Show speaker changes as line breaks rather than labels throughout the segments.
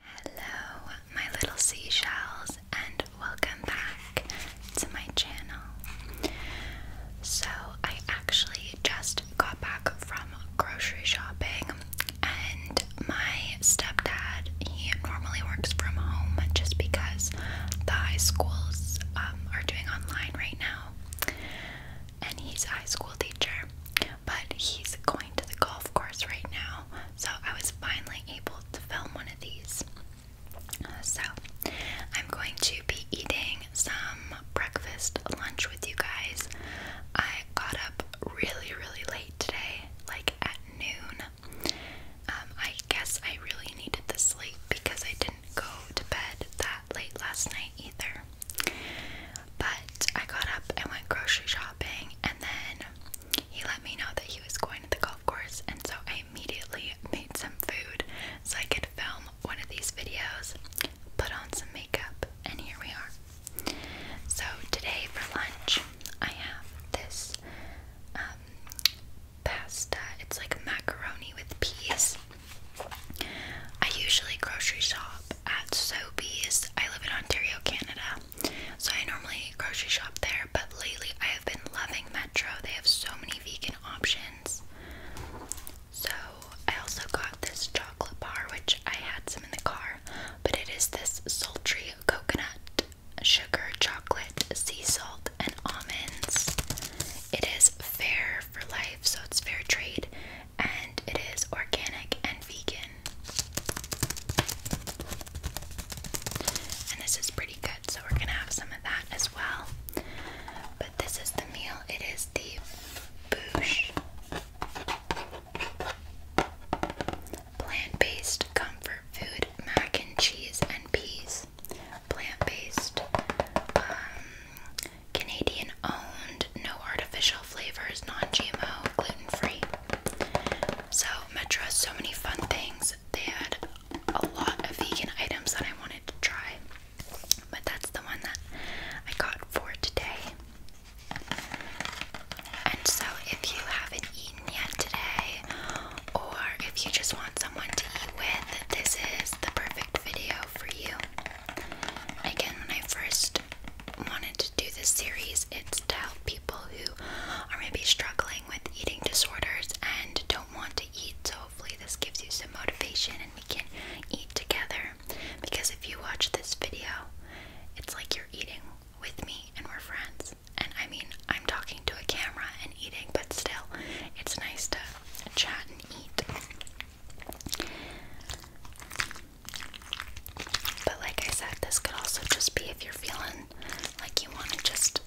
Hello, my little seashells, and welcome back to my channel. So, I actually just got back from grocery shopping, and my stepdad, he normally works from home just because the high schools um, are doing online right now, and he's a high school teacher, but he's going to the golf course right now, so I was finally able to film one of these. So, I'm going to be eating some breakfast lunch with you guys. I got up really, really late today, like at noon. Um, I guess I really needed the sleep because I didn't go to bed that late last night either. But I got up and went grocery shopping, and then he let me know that he was going to the golf course, and so I immediately made some food so I could film one of these videos, put on some makeup, and here we are. So, today for lunch, I have this um, pasta. It's like macaroni with peas. I usually grocery shop at Sobeys. I live in Ontario, Canada. So I normally grocery shop there, but lately I have been loving Metro. They have so many vegan options. So I also got this chocolate bar, which I had some in the car, but it is this sultry coconut sugar chocolate, sea salt, and almonds. It is fair for life, so it's fair trade, and it is organic and vegan. And this is pretty good, so we're gonna have some of that as well. But this is the meal, it is the Boosh Plant Based Comfort Food Mac and Cheese and Peas. Plant based, um, Canadian owned, no artificial flavors, non GMO, gluten free. So, Metro has so many fun things. They had a lot of vegan items that I wanted to try, but that's the one that I got for today. And so, if you haven't eaten yet today, or if you just want someone to eat with, this is the perfect video for you. Again, when I first wanted to do this series, it's to help people who are maybe struggling with eating disorders and don't want to eat. So hopefully this gives you some motivation and we can eat together. Because if you watch this video, it's like you're eating with me and we're friends. And I mean, I'm talking to a camera and eating, but still, it's nice to chat and eat. But like I said, this could also just be if you're feeling like you want to just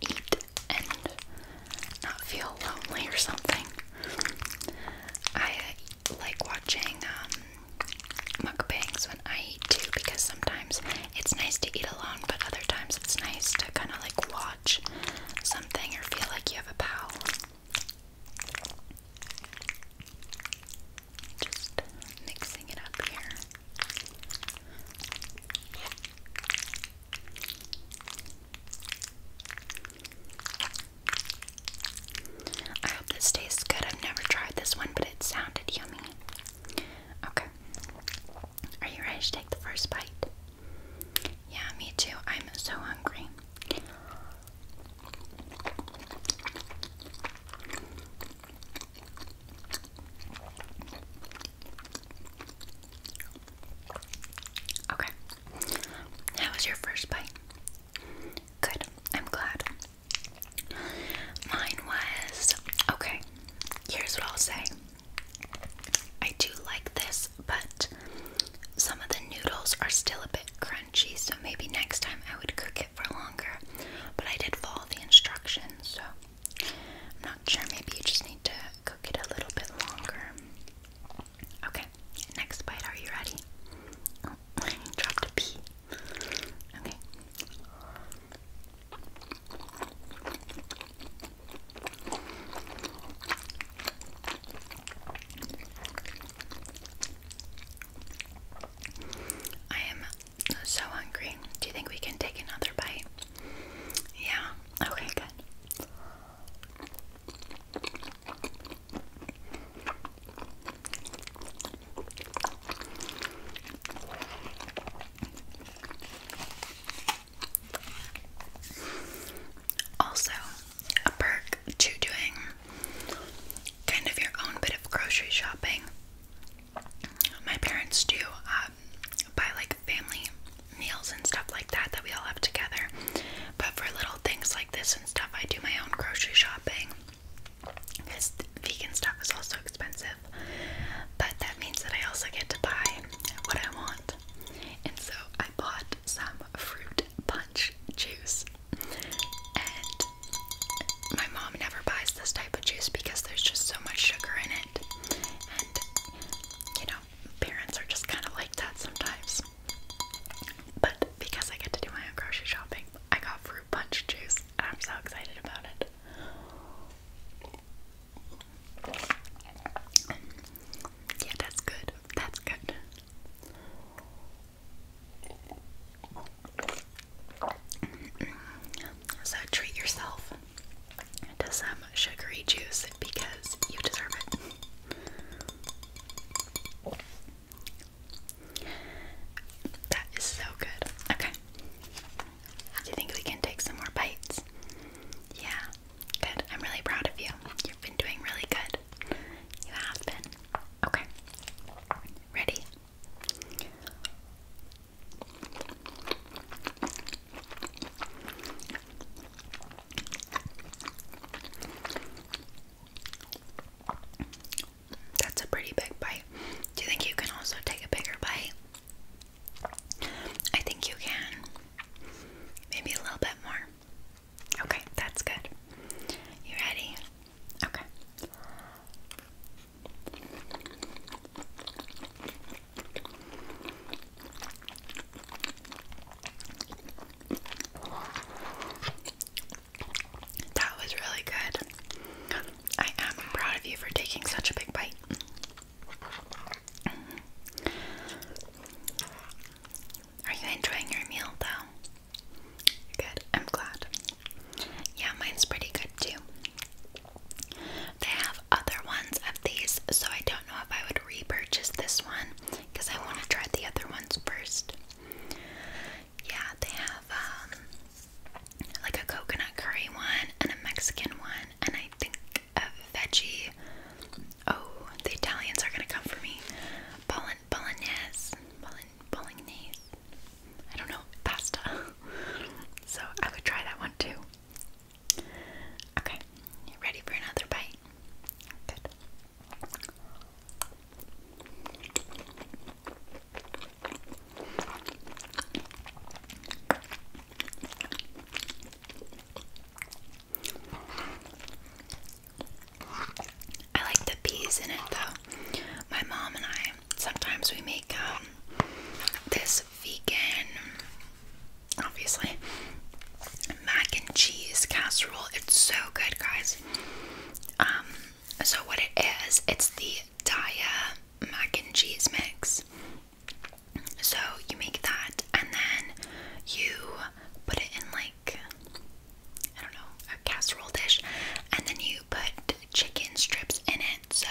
eat and not feel lonely or something. I like watching um, mukbangs when I eat too because sometimes it's nice to eat alone, but other times it's nice to kind of like watch something or feel like you have a pal. Just mixing it up here. I hope this tastes good. I've never tried this one, but it sounded yummy. Okay. Are you ready to take the first bite? Yeah, me too. I'm so hungry. Okay. How was your first bite? Good. I'm glad. Mine was okay. Here's what I'll say. I do like this, but some of the noodles are still a bit crunchy so maybe next time I would cook it for longer. But I did follow the instructions, so I'm not sure. Maybe you just need to cook it a little bit longer. Okay, next bite. Are you ready? dropped a pea. Okay. I am so hungry. Do you think we can take another bite? Yeah. Okay, good. Also, a perk to doing kind of your own bit of grocery shopping. My parents do um, buy like family meals and stuff like that that we all have together. But for little things like this and stuff, I do my own grocery shopping because vegan stuff is also expensive. But that means that I also get to buy what I want. And so I bought some fruit punch juice my mom never buys this type of juice because there's just so much sugar in it. And, you know, parents are just kind of like that sometimes. But because I get to do my own grocery shopping, I got fruit punch juice, I'm so excited about it. Yeah, that's good. That's good. So treat yourself to some sugary juice because you deserve it. That is so good. Okay. Do you think we can take some more bites? Yeah. Good. I'm really proud of you. You've been doing really good. You have been. Okay. Ready? That's a pretty big bite. Do you think you can also take a bigger bite? I think you can. Maybe a little bit more. Okay, that's good. You ready? Okay. That was really good. I am proud of you for taking such a big bite. Are you enjoying your meal though? Good, I'm glad. Yeah, mine's pretty good too. They have other ones of these, so I don't know if I would repurchase this one because I want to try the other ones first. Yeah, they have um, like a coconut curry one and a Mexican one, and I think a veggie. Oh, the Italians are gonna come for me. Bologn bolognese, bolognese bolognese. I don't know, pasta. so I would try that one too. Okay, you ready for another bite? Good. I like the peas in it though. My mom and I sometimes we make um this vegan obviously mac and cheese casserole. It's so good guys. Um so what it is, it's the DIA mac and cheese mix. So you make that and then you put it in like I don't know, a casserole dish, and then you put chicken strips in it. So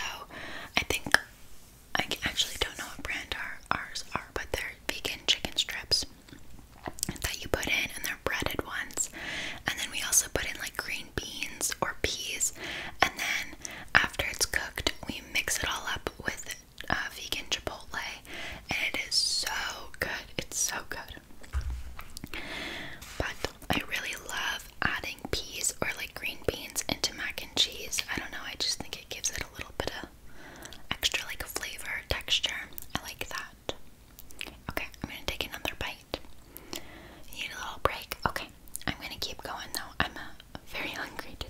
I think I actually don't know what brand our, ours are, but they're vegan chicken strips that you put in, and they're breaded ones. And then we also put in like green beans or peas, and then after it's cooked, we mix it all up with uh, vegan chipotle, and it is so good. It's so good. But I really love adding peas or like green beans into mac and cheese. I don't know, I just think it gives it a little bit of extra like flavor, texture. I like that. Okay, I'm gonna take another bite. need a little break? Okay, I'm gonna keep going though. I'm uh, very hungry today.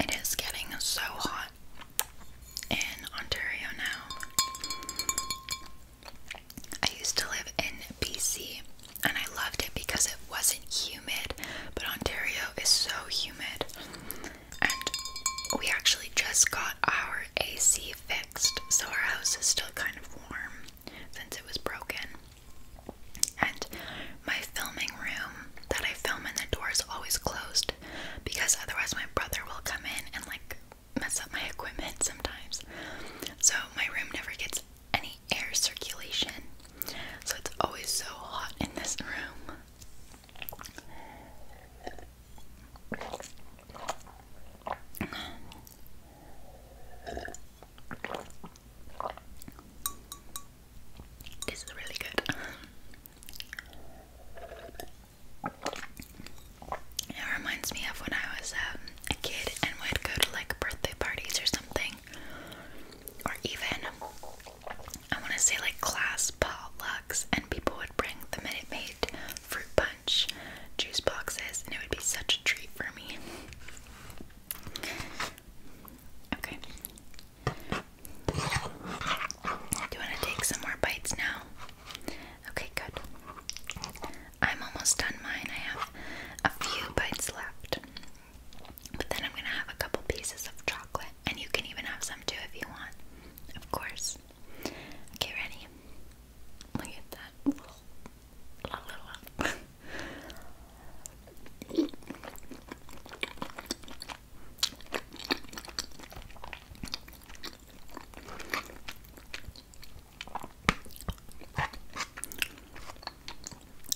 It is getting so hot in Ontario now. I used to live in BC and I loved it because it wasn't humid, but Ontario is so humid. And we actually just got our AC fixed, so our house is still kind of warm since it was broken. And my filming room that I film in, the door is always closed because otherwise my brother will come in and like mess up my equipment sometimes. So my room never gets any air circulation. So it's always so hot in this room. This is really good. It reminds me of when I was um, a kid and would go to like birthday parties or something, or even I want to say like class potlucks, and people would bring the Minute Maid fruit punch juice boxes, and it would be such a treat for me. Okay. Do you want to take some more bites now? Okay, good. I'm almost done mine. I have a few bites left. But then I'm going to have a couple pieces of chocolate. And you can even have some too if you want. Of course. Okay, ready? Look at that that.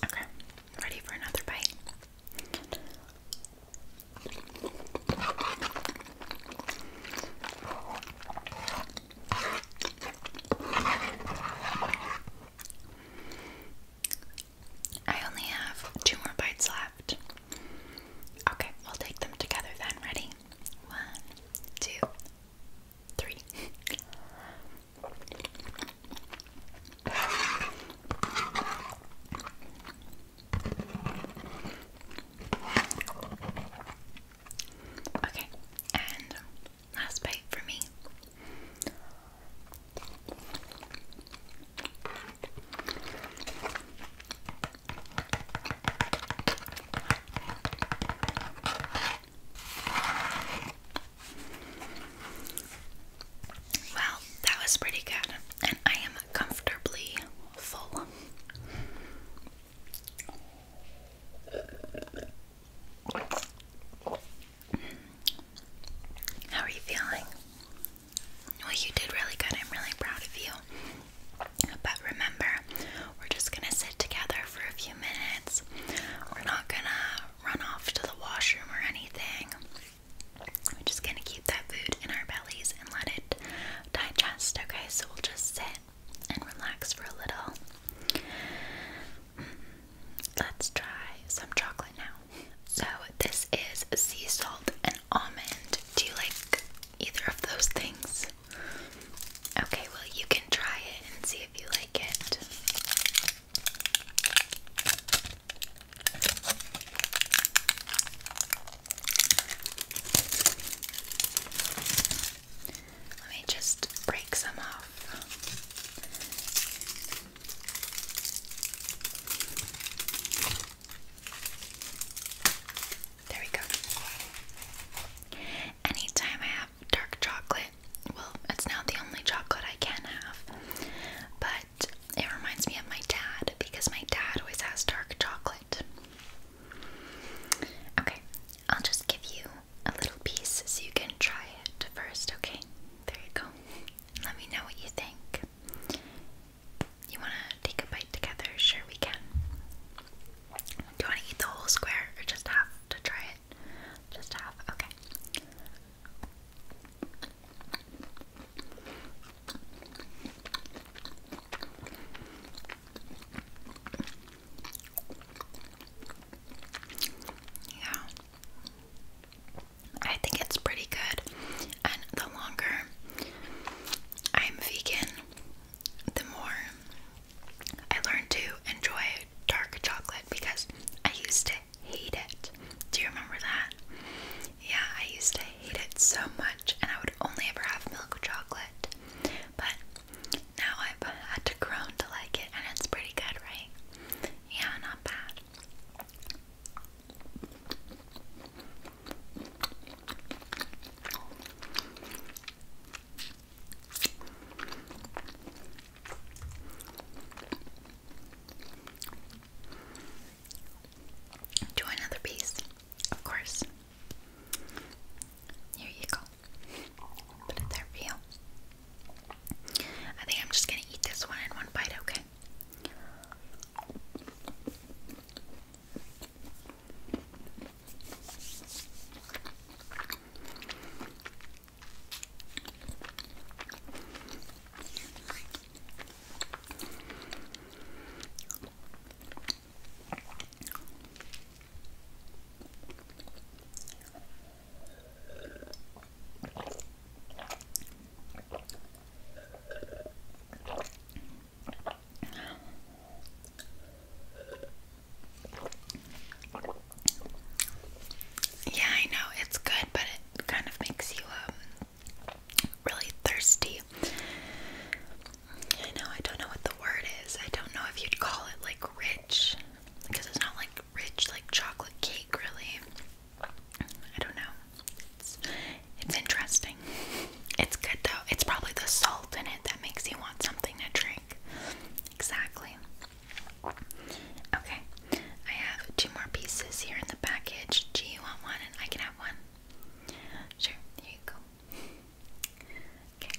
Okay, ready for another bite. I only have two more bites left. Okay, we'll take them together then. Ready? One, two, three. Okay, and Last bite for me. Well, that was pretty good, and I am comfortably full. How are you feeling? Well, you did really good. I'm really proud of you. But remember, we're just gonna sit together for a few minutes. We're not gonna run off to the washroom or anything. We're just gonna keep that food in our bellies and let it digest, okay? So we'll just sit and relax for a little. Let's try some chocolate now. So, this is sea salt and almond. Do you like either of those things? Okay, well, you can try it and see if you like it. Let me just break some off. There we go. Anytime I have dark chocolate, well, it's not the only chocolate I can have, but it reminds me of my dad because my dad always has dark chocolate. Okay, I'll just give you a little piece so you can try it first, okay? There you go. Let me know what you think. You want to take a bite together? Sure, we can. Do you want to eat the whole square or just half to try it? Just half, okay. Yeah. I think it's pretty good. And the longer I'm vegan, the more I learn to enjoy dark chocolate because I used to hate it. Do you remember that? Yeah, I used to hate it so much and I would only ever have milk chocolate. But now I've had to groan to like it, and it's pretty good, right? Yeah, not bad. Do another piece, of course. Here you go. Put it there for you. I think I'm just gonna eat this one in one bite, okay? Yeah, I know it's good, but it kind of makes you um really thirsty. I know I don't know what the word is. I don't know if you'd call it like rich because it's not like rich like chocolate cake really. I don't know. It's, it's interesting. It's good though. It's probably the salt in it that makes you want something to drink. Exactly. Okay. I have two more pieces here in the package. Do you want one and I can have one? Sure, here you go. Okay.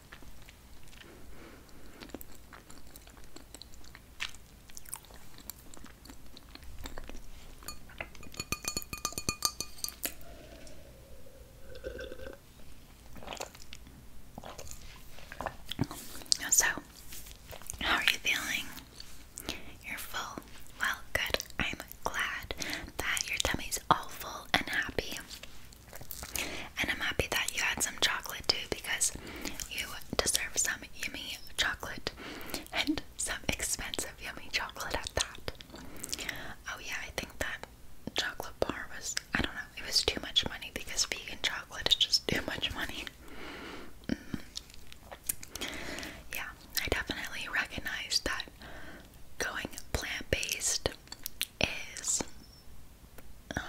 So, how are you feeling? You're full. Well, good. I'm glad that your tummy's all full and happy. And I'm happy that you had some chocolate too because you deserve some yummy chocolate and some expensive yummy chocolate at that. Oh, yeah, I think that chocolate bar was, I don't know, it was too much money because vegan chocolate is just too much money. Mm-hmm. Yeah, I definitely recognize that going plant based is um,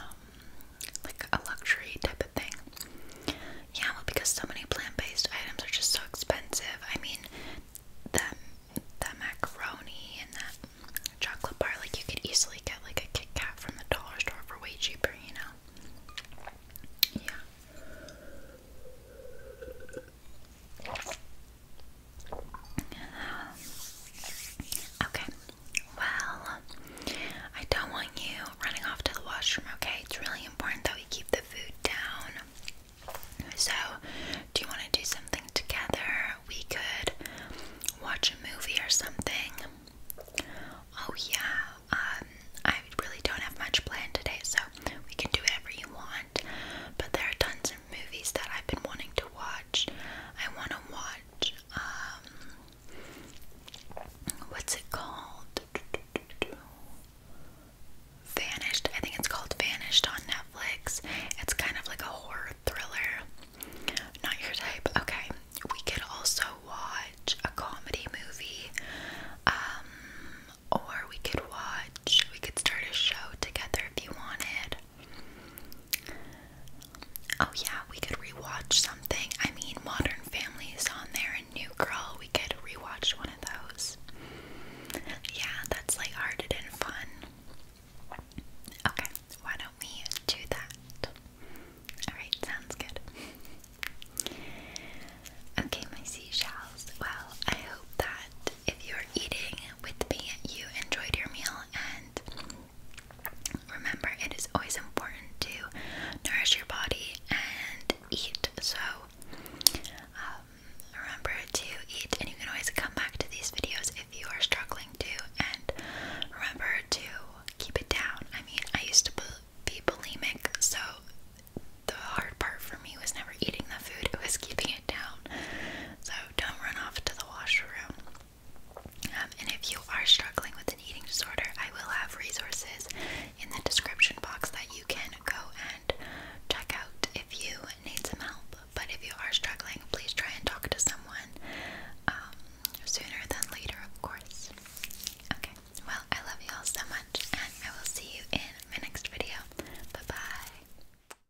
like a luxury type of thing. Yeah, well, because so many plant-based items are just so expensive. I mean, that that macaroni and that chocolate bar, like you could easily get like a Kit Kat from the dollar store for way cheaper, you know? Yeah. Okay, well, I don't want you running off to the washroom, okay? It's really important that we keep the food down. So, do you want to do something together? We could watch a movie or something. Oh, yeah, um, I really don't have much plan today, so we can do whatever you want. But there are tons movies that I've been wanting to watch. I want to watch, um, what's it called? Vanished. I think it's called Vanished on Netflix. It's kind of like a horror thriller. Not your type. Okay. We could also watch a comedy movie. Um, or we could watch, we could start a show together if you wanted. Oh yeah, we could rewatch something. I mean, Modern Family is on there and New Girl. We could rewatch one of those. Yeah, that's lighthearted and fun. Okay, why don't we do that? All right, sounds good. Okay, my seashells. Well, I hope that if you're eating with me, you enjoyed your meal, and remember, it is always important to nourish your body and eat. So, um, remember to eat, and you can always come back to these videos if you are struggling to. And remember to keep it down. I mean, I used to be bulimic, so the hard part for me was never eating the food, it was keeping it down. So don't run off to the washroom. Um, and if you are struggling with an eating disorder, I will have resources in the description box that you can go and check out if you need some help. But if you are struggling, please try and talk to someone um, sooner than later, of course. Okay, well, I love you all so much, and I will see you in my next video. Bye bye.